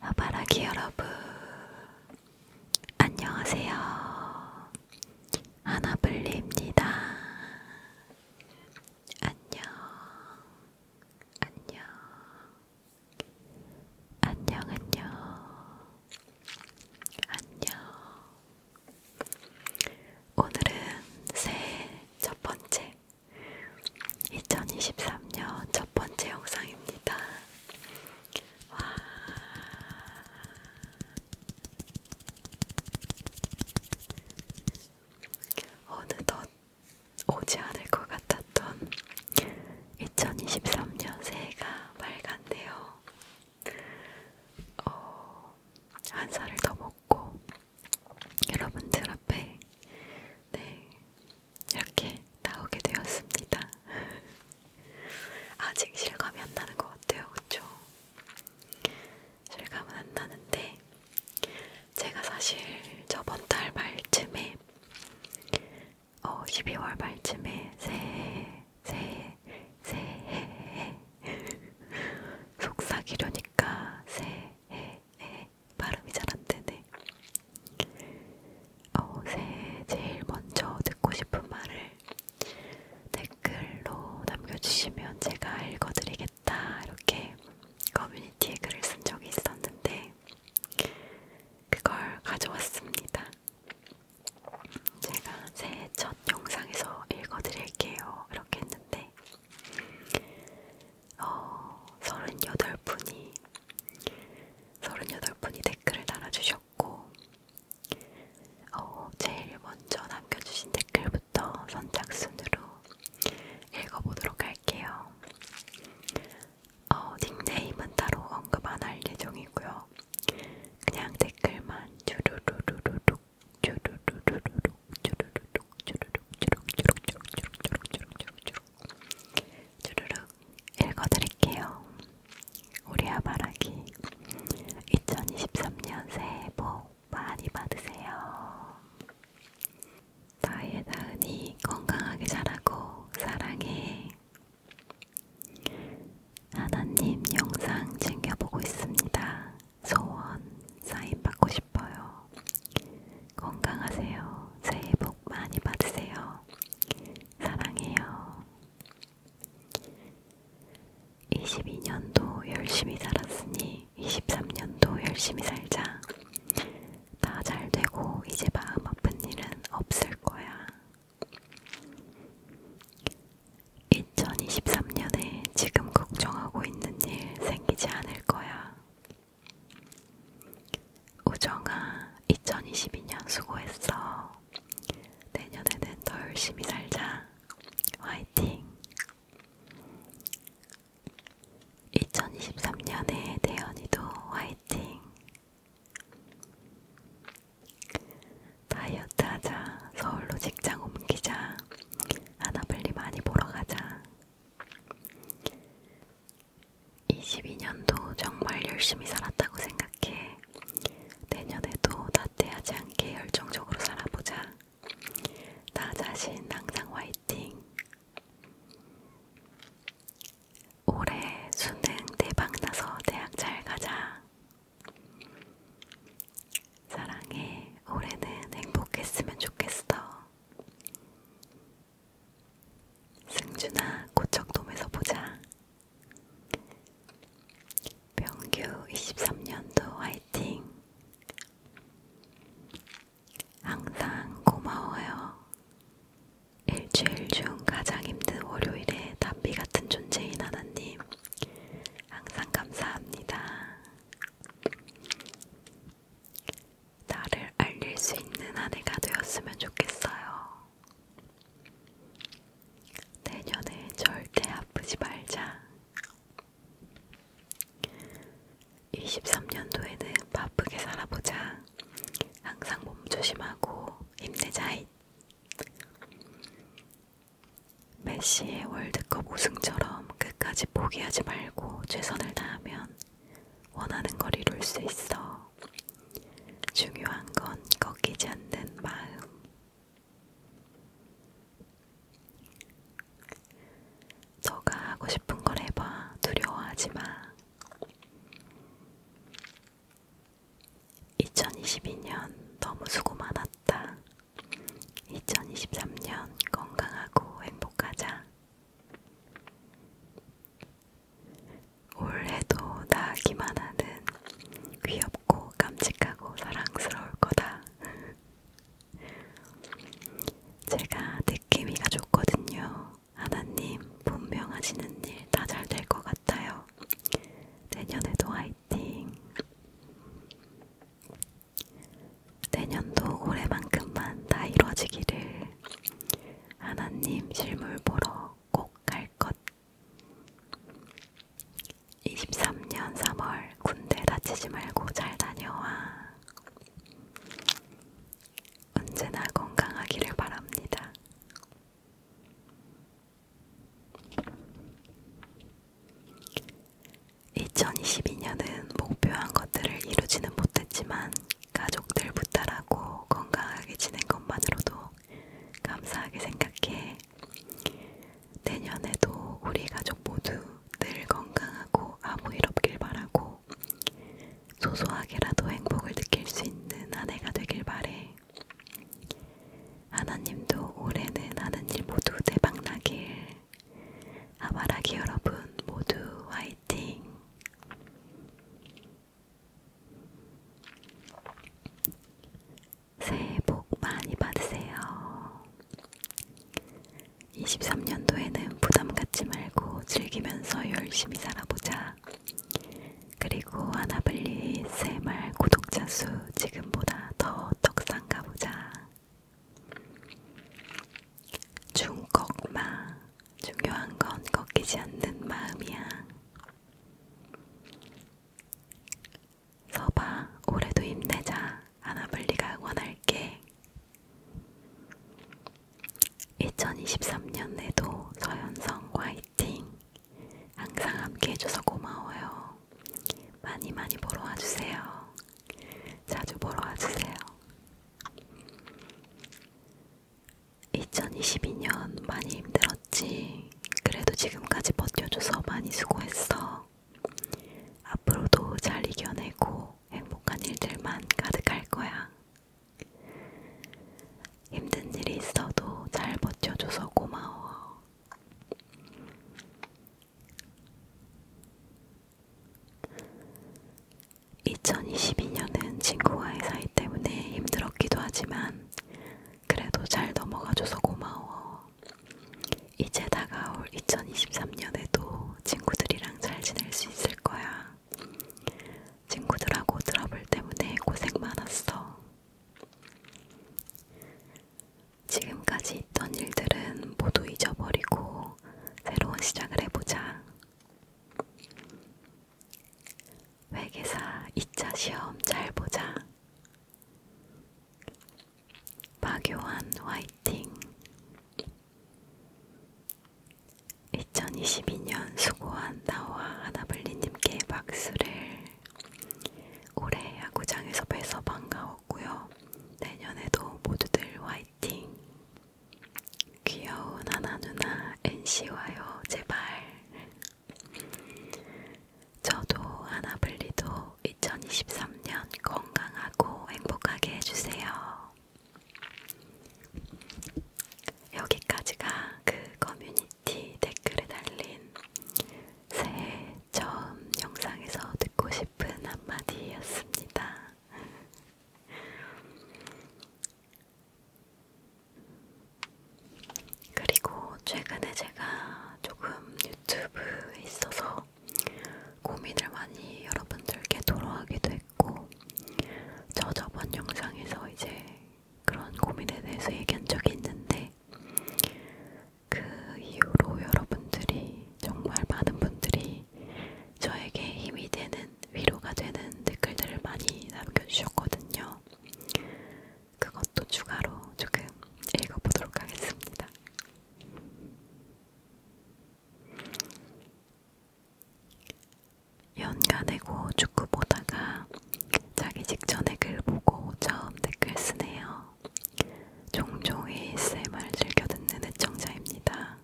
아바라기 여러분, 안녕하세요. 아나블리입니다. 안녕, 안녕, 안녕, 안녕, 안녕. 오늘은 새해 첫 번째 2023년 첫 번째 영상입니다. 와. 어느덧 오지 않을 것 같았던 2023년 새해가 밝았네요. 어, 한 살을 더 먹고 여러분들 앞에 네, 이렇게 나오게 되었습니다. 아직 실감이 안 나는 것 같아요, 그쵸? 실감은 안 나는데, 제가 사실 저번 달 말쯤에, 어, 12월 말쯤에 새해, 새해, 새해, 속삭이려니까 새해, 에, 발음이 잘 안 되네. 어, 새해 제일 먼저 듣고 싶은 말을 댓글로 남겨주시면 제가 읽어드리겠다. 이렇게 커뮤니티에 글을 쓴 적이 있었는데, 그걸 가져왔습니다. 제가 새해 첫 영상에서 읽어드릴게요. 이렇게 했는데, 어, 38분이 38분이 댓글을 달아주셨고 어, 제일 먼저 남겨주신 댓글부터 선착순으로 읽어보도록 할게요. 어, 닉네임은 따로 언급 안할 예정이고요. 그냥 댓글만 주루루루루룩 주루루루룩 주루루룩 주루룩 주룩 주룩 주룩 주룩 주룩 주룩 주룩 주룩 주르륵 읽어드릴게요. 우리 아바라기 2023년 새해 복 많이 받으세요. 나의 다은이 건강하게 자라고 사랑해. 하나님 영상 챙겨보고 있습니다. 소원 사인 받고 싶어요. 싶어요. 건강하세요. 새해 복 많이 받으세요. 사랑해요. 22년도 열심히 살았으니 23년도 열심히 살자. 다 잘 되고 이제 마음 아픈 일은 없을 거야. 2023년에 지금 걱정하고 있는 일 생기지 않을 거야. 우정아, 2022년 수고했어. 내년에는 더 열심히 살자. 화이팅! 2023년에 대현이도 화이팅! 다이어트 하자. 서울로 직장 옮기자. 아나블리 많이 보러 가자. 22년도 정말 열심히 살았다고 생각해. 내년에도 나태하지 않게 열정적으로 살아보자. 나 자신 항상 화이팅. 올해 수능 대박 나서 대학 잘 가자. 사랑해. 올해는 행복했으면 좋겠어. 승준아 고척돔에서 보자. 병규 23년도 화이팅. 항상 고마워요. 일주일 중 가장 힘든 월요일에 담비 같은 존재인 하나님. 항상 감사합니다. 나를 알릴 수 있는 한 해가 되었으면 좋겠어요. 내년에 절대 아프지 말자. 23년도에는 바쁘게 살아보자. 항상 몸 조심하고 힘내자. 잇. 메시의 월드컵 우승처럼 끝까지 포기하지 말고 최선을 다하면 원하는 걸 이룰 수 있어. 중요한 건 꺾이지 않는 마음. 너가 하고 싶은 걸 해봐. 두려워하지 마. 2022년 너무 수고 많았다. 2023년 건강하고 행복하자. 올해도 나기만 하는 귀엽고 깜찍하고 사랑스러울 거다. 제가 느낌이가 좋거든요. 하나님 분명하시는 일 다 잘될것 같아요. 내년에도 화이팅! 내년도 올해만큼만 다 이루어지기를 하나님 실물 보러 꼭 갈것 23년 3월 군대 다치지 말고 잘 다녀와 언제나 건강하기를 바랍니다. 2022년은 목표한 것들을 이루지는 못했지만 가족들 부탁하고 건강하게 지낸 것만으로도 감사하게 생각해. 내년에도 우리 가족 모두 늘 건강하고 아무 일 없길 바라고 소소하게라도 행복을 느낄 수 있는 한 해가 되길 바래. 하나님도 올해는 하는 일 모두 대박나길. 하바라기 여러분 모두 화이팅! 새해 복 많이 받으세요. 23년도에는 부담 갖지 말고 즐기면서 열심히 살아보자. 그리고 하나블리 새말 구독자 수 지금보다 더 떡상 가보자. 중꺾마 중요한 건 꺾이지 않는 마음이야. 서봐, 올해도 힘내자. 아나블리가 응원할게. 2023년에도 서현성 화이팅! 항상 함께 해줘서 고마워요. 많이 많이 보러 와주세요. 자주 보러 와주세요. 2022년 많이 힘들었지. 그래도 지금까지 버텨줘서 많이 수고했어. 앞으로도 잘 이겨내고 행복한 일들만 가득할 거야. 힘든 일이 있어도 잘 버텨줘서 고마워. 2022년은 친구와의 사이 때문에 힘들었기도 하지만 그래도 잘 넘어가줘서 고마워. 이제 다가올 2023년에도 친구들이랑 잘 지낼 수 있을 거야. 친구들하고 트러블 때문에 고생 많았어. 지금까지 있던 일들은 모두 잊어버리고 새로운 시작을 해보자. 회계사 2차 시험 잘 보자. 박요한 화이팅. 2022년 수고한 나와 하나블리님께 박수를. 올해 야구장에서 뵈서 반가워. 즐거웠고요. 내년에도 모두들 화이팅! 귀여운 하나 누나 NC 와요 제발. 저도 하나블리도 2023년 건강하고 행복하게 해주세요. 여기까지가 그 커뮤니티 댓글에 달린 새해 처음 영상에서 듣고 싶은 한마디였습니다. 그리고 최근에 제가 조금 유튜브에 있어서 고민을 많이 여러분들께 토로하기도 했고, 저 저번 영상에서 이제 그런 고민에 대해서 얘기한 적이 있는데, 그 이후로 여러분들이 정말 많은 분들이 저에게 힘이 되는 위로가 되는 댓글들을 많이 남겨주셨거든요. 그것도 추가로 조금 읽어보도록 하겠습니다. 연간에고 축구 보다가 자기 직전에 글 보고 처음 댓글 쓰네요. 종종 ASMR을 즐겨 듣는 애청자입니다.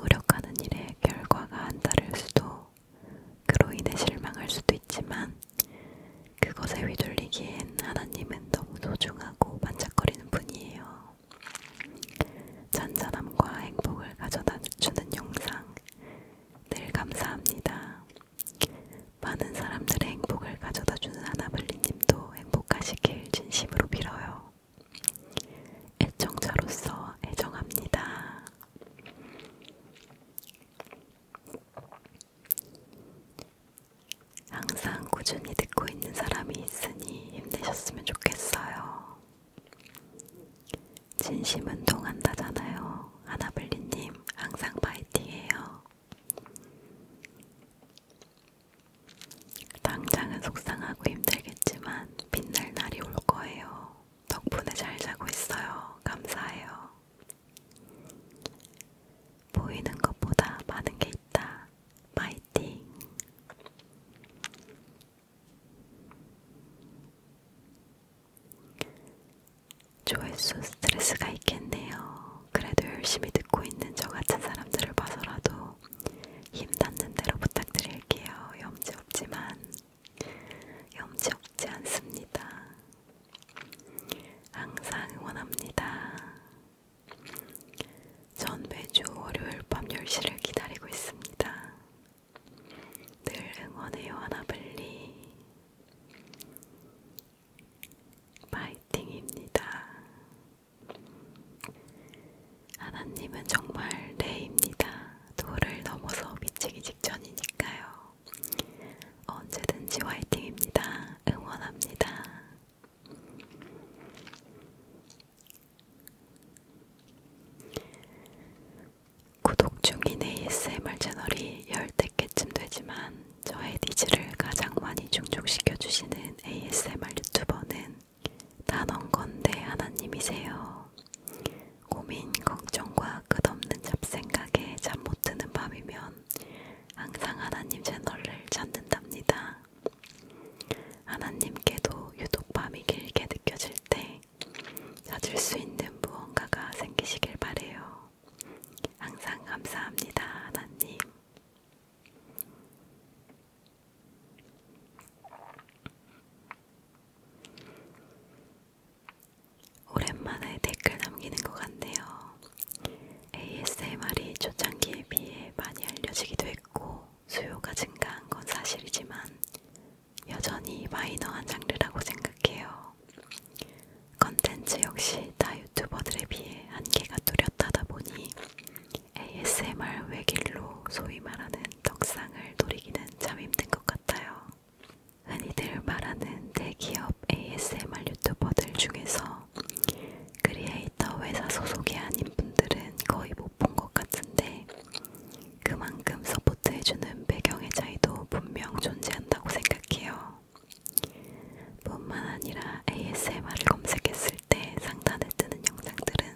노력하는 일에 결과가 안 따를 수도, 그로 인해 실망할 수도 있지만, 그것에 휘둘리기엔 하나님은 너무 소중하고 반짝거리는 분이에요. 잔잔함과 행복을 가져다 주는 영상, 늘 감사합니다. 많은 사람들의 행복을 가져다주는 아나블리님도 행복하시길 진심으로 빌어요. 애청자로서 애정합니다. 항상 꾸준히 듣고 있는 사람이 있으니 힘내셨으면 좋겠어요. 진심 운동한다잖아요. 아나블리님, 항상 파이팅해요. 당장은 속상하고 힘들겠지만 빛날 날이 올 거예요. 덕분에 잘 자고 있어요. 감사해요. 보이는 것보다 많은 게 있다. 파이팅. 조회수 스트레스가 있겠네요. 그래도 열심히 듣고 있는 저 같은 사람들을 봐서라도 힘 닿는 대로 부탁드릴게요. 염치 없지만 염치 없지 않습니다. 항상 응원합니다. 전 매주 월요일 밤 10시를 기다리고 있습니다. 늘 응원해요, 하나블리. 파이팅입니다. 하나님은 정말 레입니다. 도를 넘어서 미치기 직전이니까요. 언제든지 화이팅입니다. 응원합니다. 구독 중인 ASMR 채널이 10대 100개쯤 되지만 저의 니즈를 가장 많이 충족시켜주시는 ASMR 유튜버는 단언건대 하나님이세요. 고민, 걱정과 끝없는 잡생각에 잠 못드는 밤이면 항상 하나님 채널을 찾는답니다. 하나님께도 유독 밤이 길게 느껴질 때 찾을 수 있는 무언가가 생기시길 바래요. 항상 감사합니다, 하나님. 오랜만에 댓글 남기는 것 같네요. ASMR이 초창기에 비해 많이 알려지기도 했고 수요가 증가한 건 사실이지만 여전히 마이너한 장르라고 생각해요. 컨텐츠 역시 다 유튜버들에 비해 한계가 뚜렷하다 보니 ASMR 외길로 소위 말하는 덕상을 노리기는 참 힘든 것 같아요. 흔히들 말하는 대기업 ASMR 유튜버들 중에서 크리에이터 회사 소속이 아닌 분들은 거의 못 본 것 같은데 그만큼 서포트해주는 배경의 차이도 분명 존재한다고 생각해요. 뿐만 아니라 ASMR을 검색했을 때 상단에 뜨는 영상들은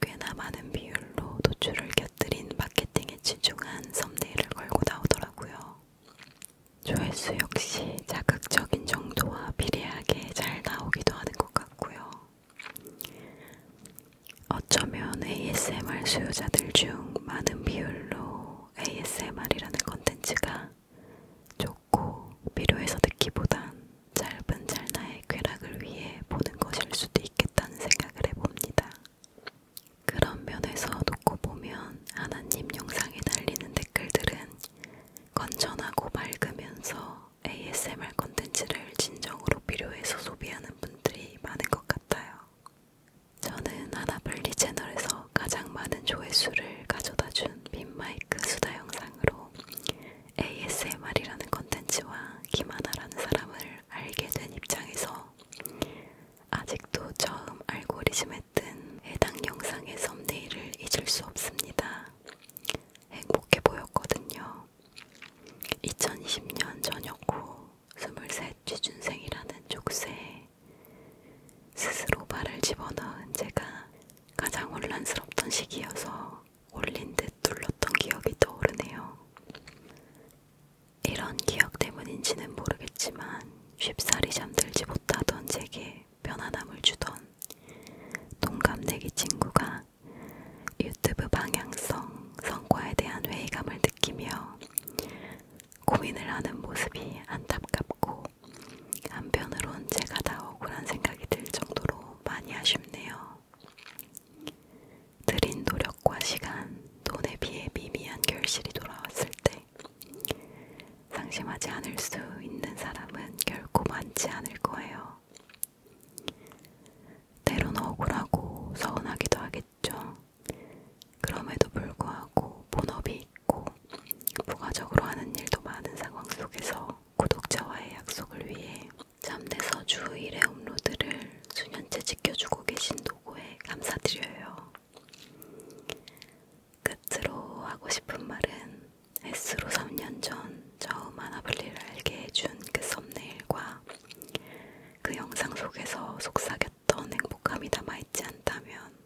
꽤나 많은 비율로 노출을 곁들인 마케팅에 치중한 썸네일을 걸고 나오더라고요. 조회수 역시 자극적인 정도와 비례하게 잘 나오기도 하는 것 같고요. 어쩌면 ASMR 수요자들 중 많은 비율로 ASMR이라는 컨텐츠가 좋고 필요해서 듣기보단 짧은 찰나의 쾌락을 위해 보는 것일 수도 있겠다는 생각을 해봅니다. 그런 면에서 놓고 보면 하나님 영상에 달리는 댓글들은 건전하고 밝으면서 ASMR 컨텐츠를 진정으로 필요해서 소비하는 분들이 많은 것 같아요. 저는 하나블리 채널에서 가장 많은 조회수를 가져다준 빈마이크 수다 영상으로 ASMR이라는 컨텐츠와 김하나라는 사람을 알게 된 입장에서 아직도 처음 알고리즘에 뜬 해당 영상의 썸네일을 잊을 수 없습니다. 행복해 보였거든요. 2020년 저녁 후 스물셋 취준생이라는 족쇄에 스스로 발을 집어넣은 제가 가장 혼란스럽던 시기여서 올린 듯 눌렀던 기억이 떠오르네요. 이런 기억 때문인지는 모르겠지만 쉽사리 잠들지 못하던 제게 편안함을 주던 동갑내기 친구가 유튜브 방향성 성과에 대한 회의감을 느끼며 고민을 하는 모습이 안타깝고 한편으론 제가 다 억울한 생각이 들 정도로 많이 아쉽네요. 들인 노력과 시간, 돈에 비해 미미한 결실이 돌아왔을 때 상심하지 않을 수 있는 사람은 결코 많지 않을 거예요. 때론 억울하고 서운하기도 하겠죠. 그럼에도 불구하고 본업이 있고 부가적으로 하는 일도 많은 상황 속에서 구독자와의 약속을 위해 잠대서 주 1회 업로드를 수년째 지켜주고 계신 도고에 감사드려요. 끝으로 하고 싶은 말은 S로 3년 전 처음 아나블리를 알게 해준 그 썸네일과 그 영상 속에서 속삭였던 행복함이 남아있지 않다면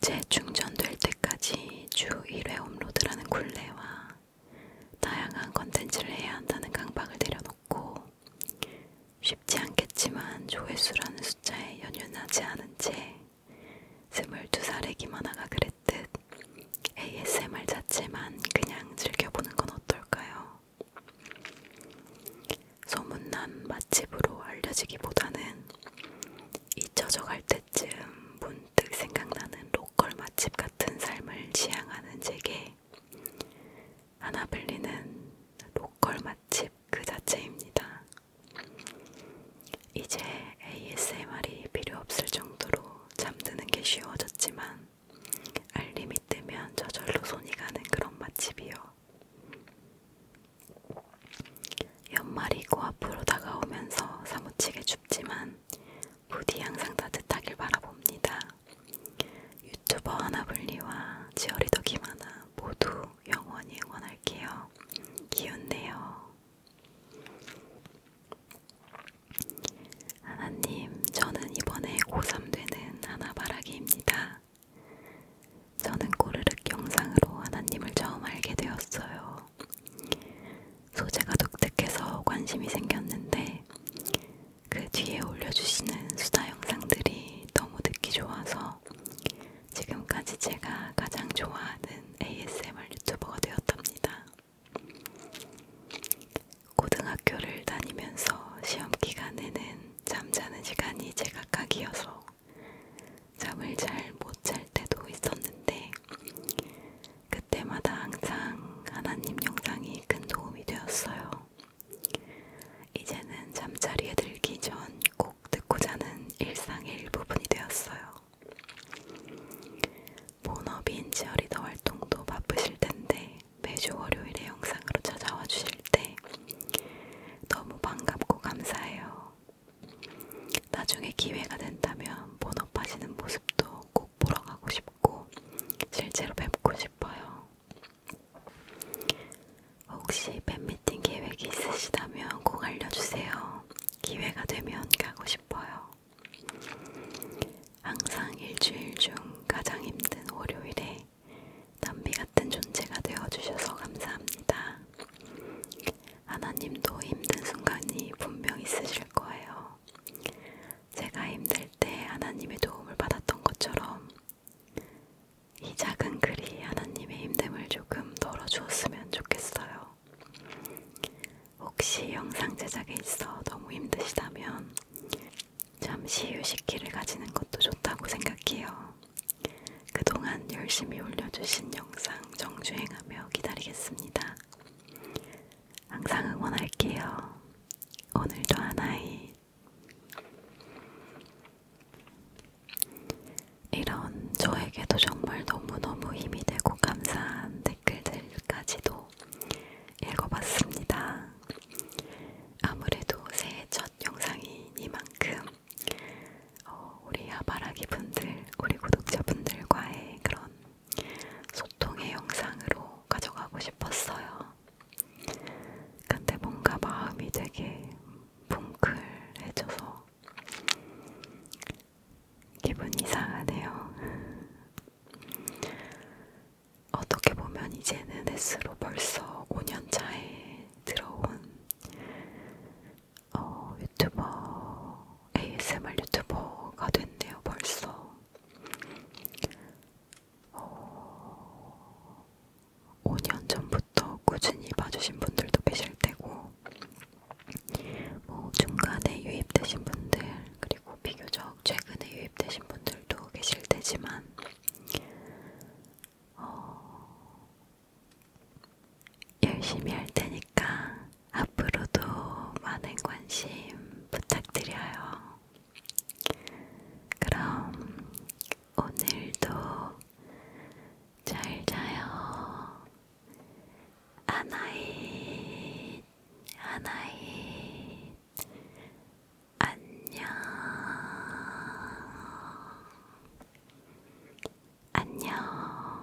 재충전될 때까지 주 1회 업로드라는 굴레와 다양한 컨텐츠를 해야 한다는 강박을 내려놓고 쉽지 않겠지만 조회수라는 숫자에 연연하지 않은 채 22살의 김하나가 그랬듯 ASMR 자체만 그냥 즐겨보는 건 어떨까요? 소문난 맛집으로 알려지기보다는 잊혀져 갈 때쯤 문득 생각나는 로컬 맛집 같은 삶을 지향하는 제게 하나블리는 로컬 맛집 그 자체입니다. 이제 ASMR이 필요 없을 정도로 잠드는 게 쉬워졌지만 알림이 뜨면 저절로 손이 가는 그런 맛집이요. 연말이 코앞으로 다가오면서 사무치게 춥지만 부디 항상 따뜻하길 바라봅니다. 유튜버 하나블리와 지어리더 김하나 모두 영원히 응원할게요. 기운내요. 하나님, 저는 이번에 고3 되는 하나바라기입니다. 저는 꼬르륵 영상으로 하나님을 처음 알게 되었어요. 소재가 독특해서 관심이 생겼는데 그 뒤에 올려주시는 수다 영상들이 너무 듣기 좋아서 지금까지 제가 가장 좋아하는 ASMR 유튜버가 되었답니다. 고등학교를 다니면서 시험 기간에는 잠자는 시간이 제각각이어서 잠을 잘 못 잘 때도 있었는데 그때마다 항상 하나님 영상이 큰 도움이 되었어요. 이제는 잠자리에 들기 전 꼭 듣고 자는 일상의 일부분이 되었어요. 본업인 치어리더 활동도 바쁘실 텐데 매주 월요일에 영상으로 찾아와 주실 때 너무 반갑고 감사해요. 나중에 기회가 된다면 본업하시는 모습도 꼭 보러 가고 싶고 실제로 뵙고 싶어요. 혹시 팬미팅 계획이 있으시다면 꼭 알려주세요. 기회가 되면 가고 싶어요. 항상 일주일 중 가장 힘든 월요일에 담비 같은 존재가 되어주셔서 감사합니다. 하나님도 힘든 순간이 분명 있으실 거예요. 제가 힘들 때 하나님의 도움을 받았던 것처럼 이 작은 글이 하나님의 힘듦을 조금 덜어주었으면 좋겠어요. 혹시 영상 제작에 있어 너무 힘드시다면 잠시 휴식기를 가지는 것도 좋다고 생각해요. 그동안 열심히 올려주신 영상 정주행하며 기다리겠습니다. 항상 응원할게요. 오늘도 하나의 이런 저에게도 정말 너무너무 힘이 되고 감사한 댓글들까지도 읽어봤습니다. 아무래도 새해 첫 영상이 이만큼 어, 우리 아바라기 분들, 우리 구독자분들과의 그런 소통의 영상으로 가져가고 싶었어요. 근데 뭔가 마음이 되게 뭉클해져서 기분 이상하네요. 어떻게 보면 이제는 S로 벌써 5년 차에 들어온 어, 유튜버 ASMR 유튜버가 됐네요. 벌써 어, 5년 전부터 꾸준히 봐주신 분들도 계실 테고 뭐 중간에 유입되신 분들 그리고 비교적 최근에 유입되신 분들도 계실 테지만 어, 열심히 할 테니까 앞으로도 많은 관심 부탁드려요. 그럼 오늘도 잘 자요. 아나인, 아나인, 안녕, 안녕.